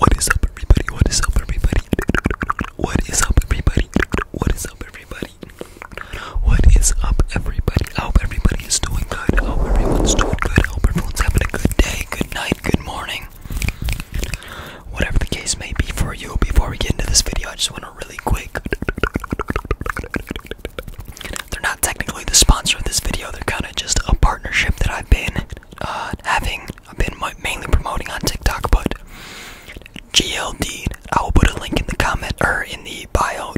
What is up, everybody? What is up, everybody? What is up, everybody? What is up, everybody? What is up, everybody? I hope everybody is doing good. I hope everyone's doing good. I hope everyone's having a good day, good night, good morning. Whatever the case may be for you, before we get into this video, I just want to really quick. They're not technically the sponsor of this video, they're kind of just a partnership that I've been uh, having. I've been mainly promoting on TikTok, but GLD. I will put a link in the comment or in the bio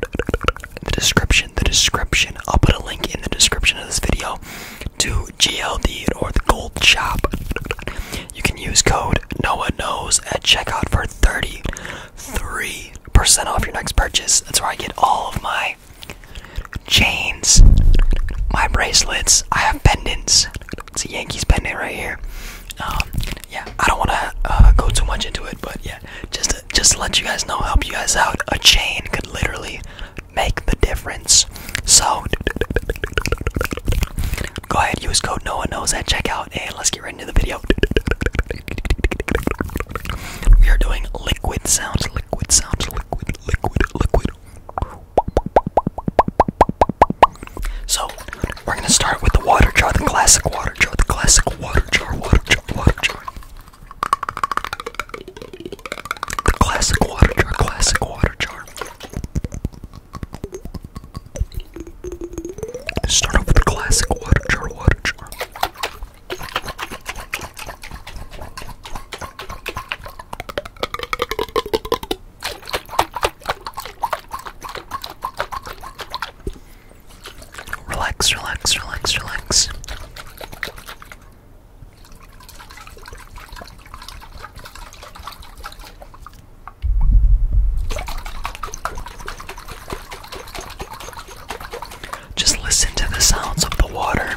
the description, the description. I'll put a link in the description of this video to GLD or the Gold Shop. You can use code Noah Knows at checkout for 33% off your next purchase. That's where I get all of my chains, my bracelets. I have pendants. It's a Yankees pendant right here. Um, yeah, I don't want to uh, go too much into it, but yeah, just just let you guys know, help you guys out. A chain could literally make the difference. So go ahead, use code Noah Knows at checkout, and let's get right into the video. We are doing liquid sounds, liquid sounds, liquid, liquid, liquid. So we're gonna start with the water jar, the classic water jar, the classic water jar, water jar, water jar. Classic water jar, classic water jar. Start off with the classic water jar, water jar. Relax, relax, relax, relax. Just listen to the sounds of the water.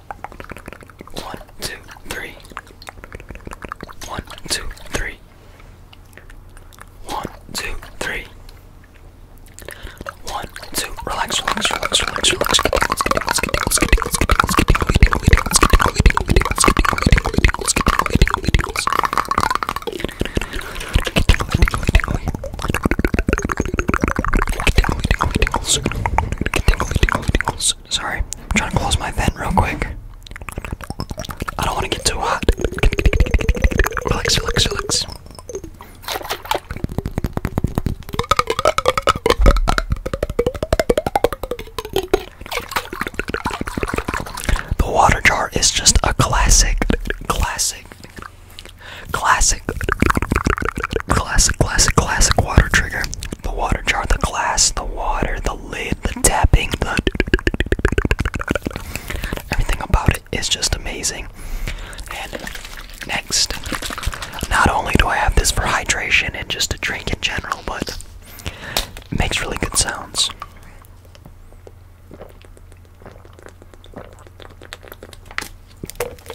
One, two, three. One, two, three. One, two, three. One, two, relax, relax, relax, relax, relax. Tingles, Sorry, I'm trying to close my vent real quick. I don't want to get too hot. Relax, relax, relax. The water jar is just a classic, classic, Classic, classic, classic, classic water trigger. The water jar, the glass, the water, the lid, the tapping, the. Everything about it is just amazing. And next, not only do I have this for hydration and just to drink in general, but it makes really good sounds.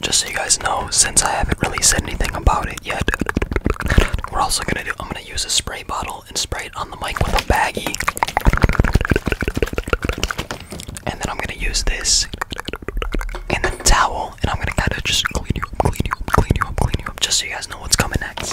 Just so you guys know, since I haven't really said anything about it yet, we're also gonna do. I'm gonna use a spray bottle and spray it on the mic with a baggie, and then I'm gonna use this and a towel, and I'm gonna kind of just clean you up, clean you up, clean you up, clean you up, just so you guys know what's coming next.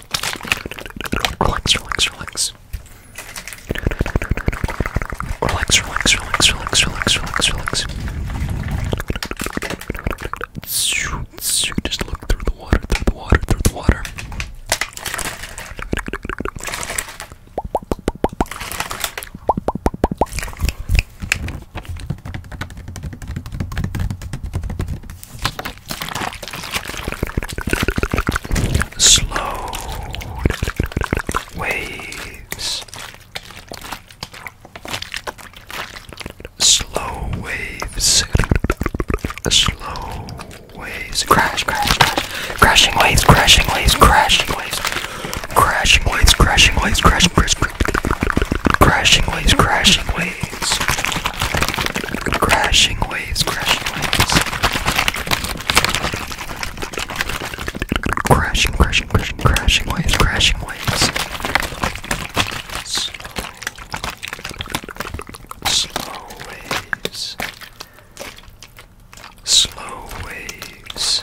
Relax, relax, relax. Relax, relax, relax, relax, relax, relax, relax. Just look through the water, through the water, through the water slow waves, slow waves, slow waves, crash, crash, crash, crashing waves, crashing waves, crashing waves, crashing waves, crashing waves, crashing waves, crashing waves, crashing waves. Crashing waves, crashing waves. Crashing, crashing, crashing, crashing waves, crashing waves. slow waves. Slow waves.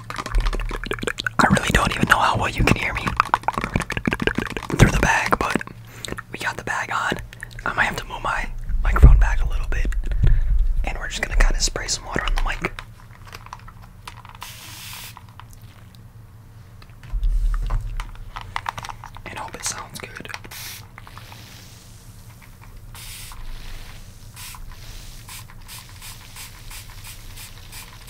I really don't even know how well you can hear me through the bag, but we got the bag on. I might have to move my microphone back a little bit, and we're just gonna kind of spray some water on the mic. And hope it sounds good.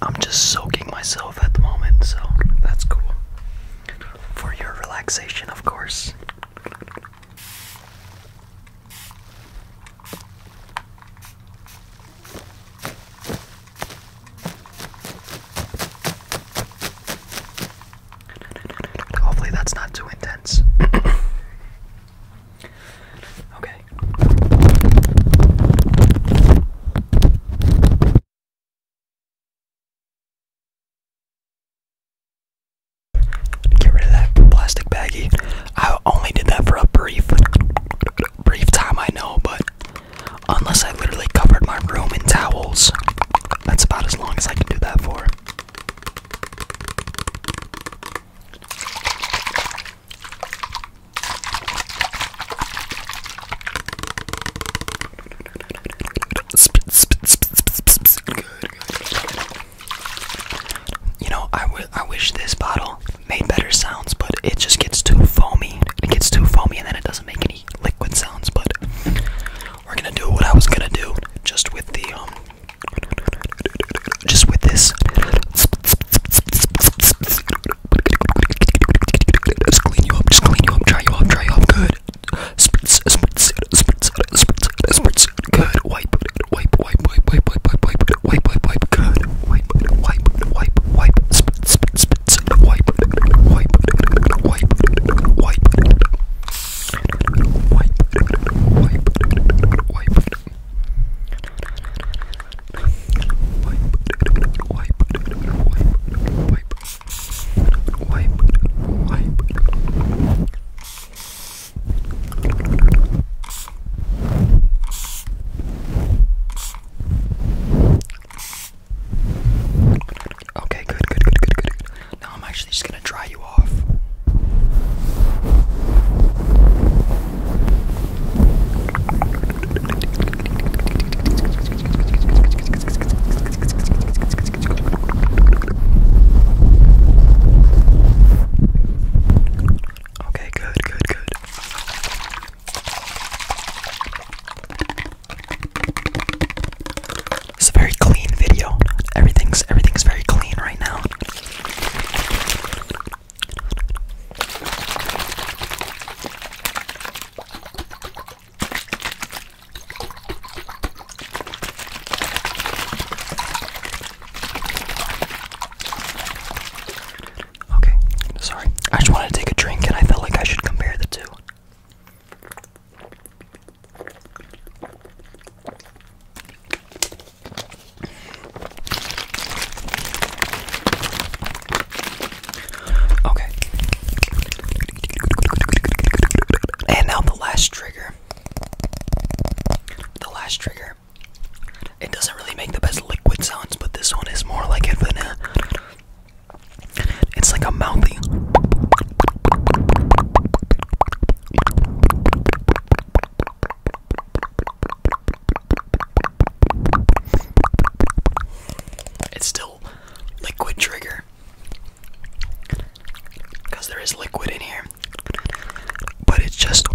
I'm just soaking myself at the moment, so that's cool. For your relaxation, of course. Hopefully, that's not too intense. okay. Get rid of that plastic baggie. I only did that for a brief brief time, I know, but unless I literally covered my room in towels, that's about as long as I can do that for. You know, I I wish this bottle made better sounds, but it just gets too foamy. It gets too foamy, and then it doesn't make any liquid sounds. But we're gonna do what I was gonna do, just with the um, just with this. Just clean you up. Just clean you up. Dry you up. Dry you up. Good. Spritz, spritz, spritz, spritz, spritz. Good. Wipe, wipe, wipe, wipe, wipe, wipe, wipe, wipe, wipe, wipe, wipe. Good. Wipe wipe, wipe, wipe, wipe, spit, spit, spit, wipe, wipe, wipe, wipe, wipe, wipe, wipe, wipe, wipe, wipe, wipe, wipe. Okay, good, good, good, good, good. Now I'm actually just gonna dry you off. Okay, good, good, good. It's a very clean video. Everything's everything's very clean right now. Okay, sorry. I just wanted to take a drink and I felt like I should compare the two. Okay. And now the last trigger. The last trigger it doesn't really make the best liquid sounds, but this one is more like it. It's like a mouthy. It's still liquid trigger. Because there is liquid in here but it's just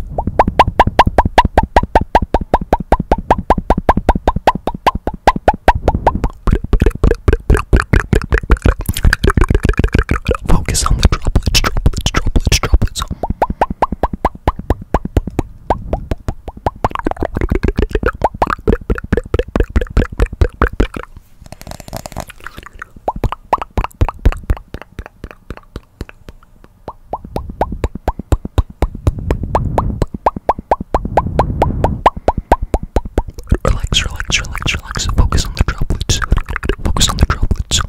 focus on the droplets, droplets, droplets, droplets. Relax, relax, relax, relax. Focus on the droplets. Focus on the droplets.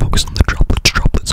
Focus on the droplets, droplets.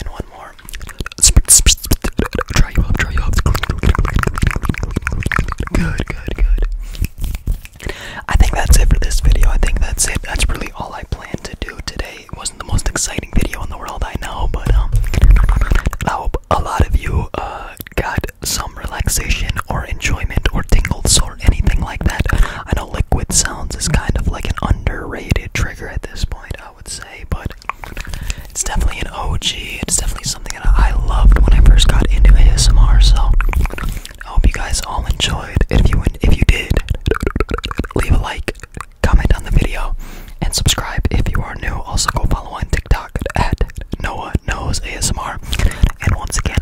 And one more. Try Good, good, good. I think that's it for this video. I think that's it. That's really all I plan to do today it wasn't the most exciting video in the world, I know, but um, I hope a lot of you uh, got some relaxation or enjoyment or tingles or anything like that. I know liquid sounds is kind of like an underrated trigger at this point, I would say, but it's definitely an OG. It's definitely something that I loved when I first got into ASMR, so I hope you guys all enjoyed. If you if you did, leave a like, comment on the video, and subscribe if you are new. Also, go follow on TikTok at Noah Knows ASMR. And once again,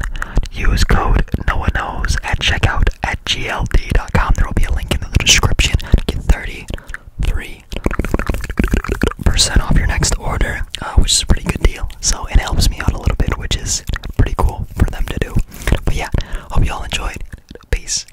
use code Noah Knows at checkout at gld.com. There will be a link in the description to get 33% off your next order, uh, which is a pretty good deal. So it helps me out a little bit, which is pretty cool for them to do. But yeah, hope you all enjoyed. Peace.